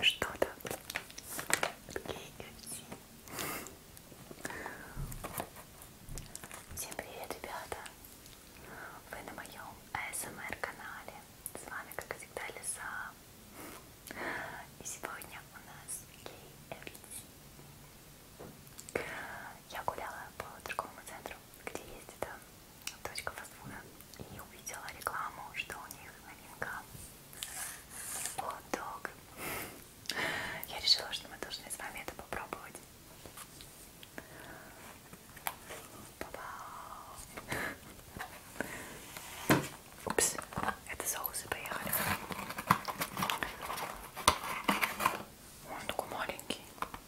Что-то Всем привет, ребята! Вы на моем ASMR канале. С вами, как всегда, Лиза. И сегодня у нас KFC я гуляла по торговому центру, где есть эта точка фастфуда, и увидела рекламу, что у них новинка хот-дог. Я решила, что мы должны с вами это попробовать. Упс, это соусы поехали. Он такой маленький.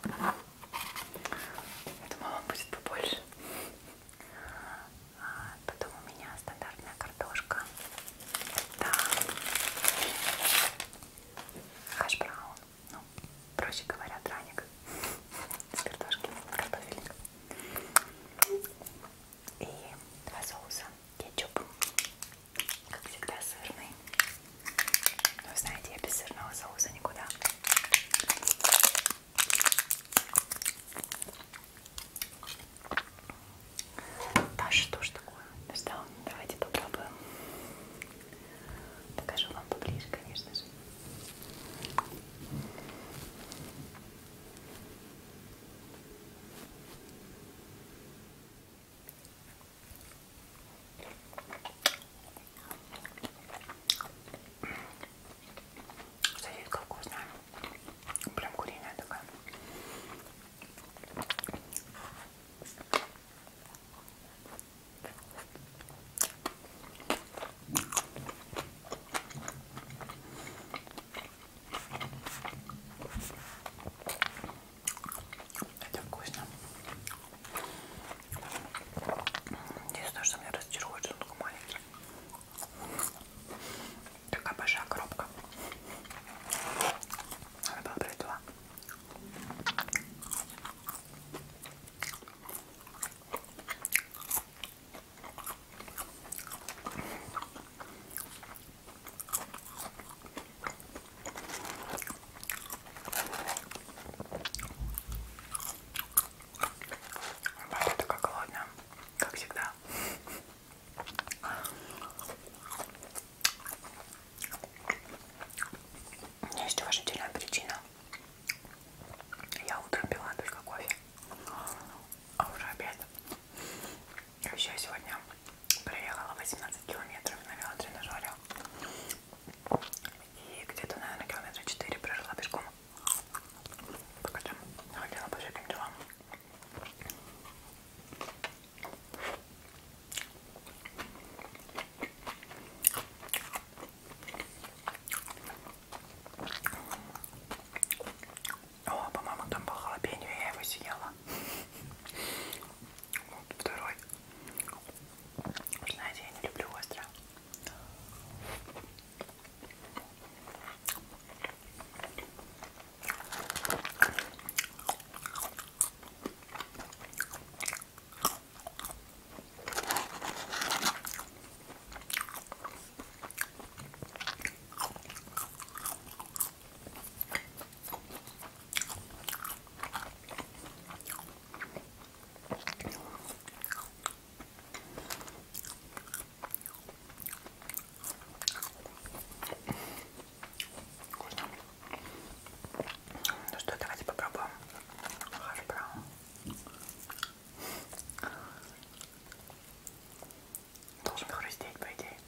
Я думала, он будет побольше. А, потом у меня стандартная картошка. Да. Хашбраун. Ну, проще говоря, драник. С картошки, картофельник. И два соуса. Кетчуп как всегда, сырный. Но знаете, я без сырного соуса никуда. Даша тоже такое достала. Давайте попробуем. Покажу вам поближе, конечно же. Сосиска вкусная. Прям куриная такая. Это вкусно. Единственное, что меня разочаровывает, что он такой маленький. Такая большая коробка. Она была брать два. Вообще такая голодная, как всегда. У меня есть уважительная причина. Я утром пила только кофе, а уже обед. Еще сегодня проехала 18 километров на велотренажере. И где-то, наверное, километра 4 прожила пешком. Пока там ходила по всяким делам. О, по-моему, там был халапеньо, я его съела. Вот второй. Знаете, я не люблю остро. Вкусно. Ну что, давайте попробуем хаш браун. Должен хрустеть, по идее.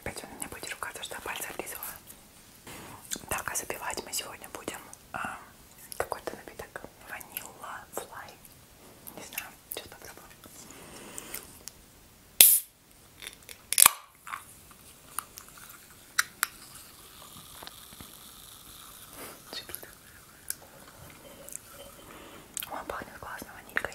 Опять он меня будет ругаться, что пальцы облизывала. Так, а запивать мы сегодня будем а, какой-то напиток ванила флай. Не знаю, сейчас попробую. Шипит. Он пахнет классно ванилькой.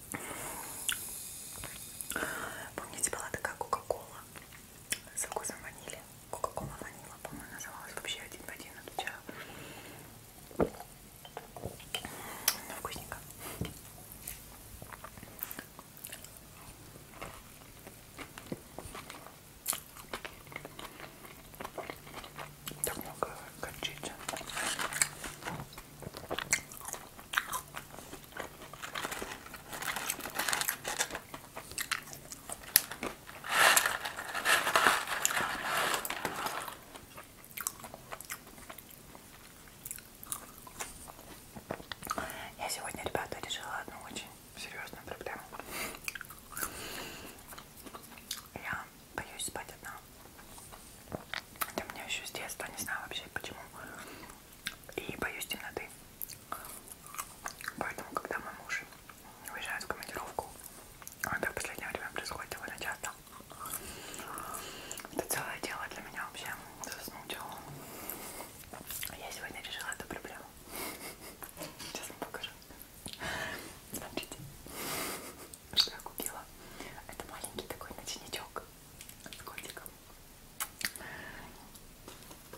Помните, была такая Кока-Кола со вкусом ванили. Кока-Кола ванила, по-моему, называлась вообще один в один отвечаю. Но вкусненько. Так много горчицы. Я сегодня, ребята, решила одну очень серьезную проблему. Я боюсь спать одна. Это мне еще с детства, не знаю вообще почему и боюсь темноты. Поэтому, когда мой муж уезжает в командировку, а это в последнее время происходит довольно часто, это целое дело для меня вообще заснуть. Я сегодня решила эту проблему. Сейчас вам покажу. Смотрите, что я купила. Это маленький такой ночничок с котиком.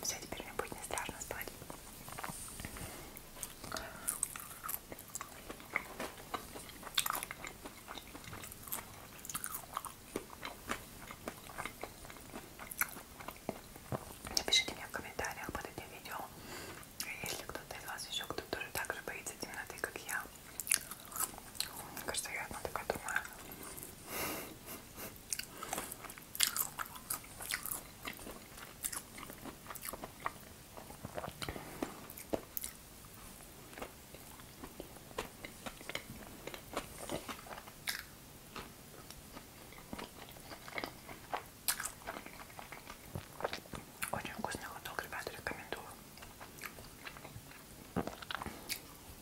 Все, теперь мне будет не страшно спать. Напишите мне в комментариях под этим видео, если кто-то из вас еще кто-то тоже так же боится темноты, как я. Мне кажется, я одна такая думаю. Очень вкусный хот-дог, ребята, рекомендую.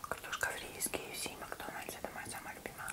Картошка фри из KFC и Макдональдс это моя самая любимая.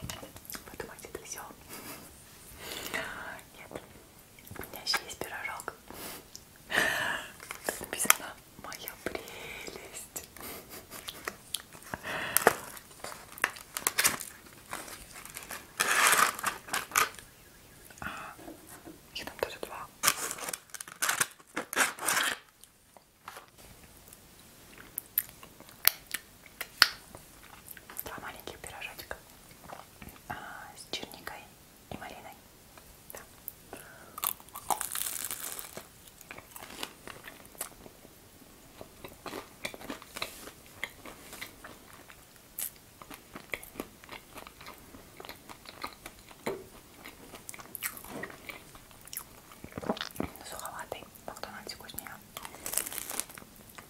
Вы думаете, это все? Нет. У меня еще есть пирожок. Тут написано «Моя прелесть». А, я там тоже два. Два маленьких пирожочка а, с черникой и малиной. Да. Суховатый, но кто вкуснее.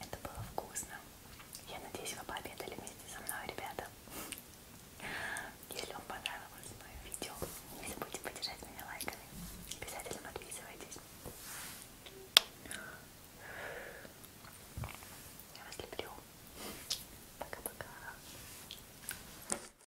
Это было вкусно. Я надеюсь, вы пообедали вместе со мной, ребята. Если вам понравилось мое видео, не забудьте поддержать меня лайками. Обязательно подписывайтесь. Я вас люблю. Пока-пока.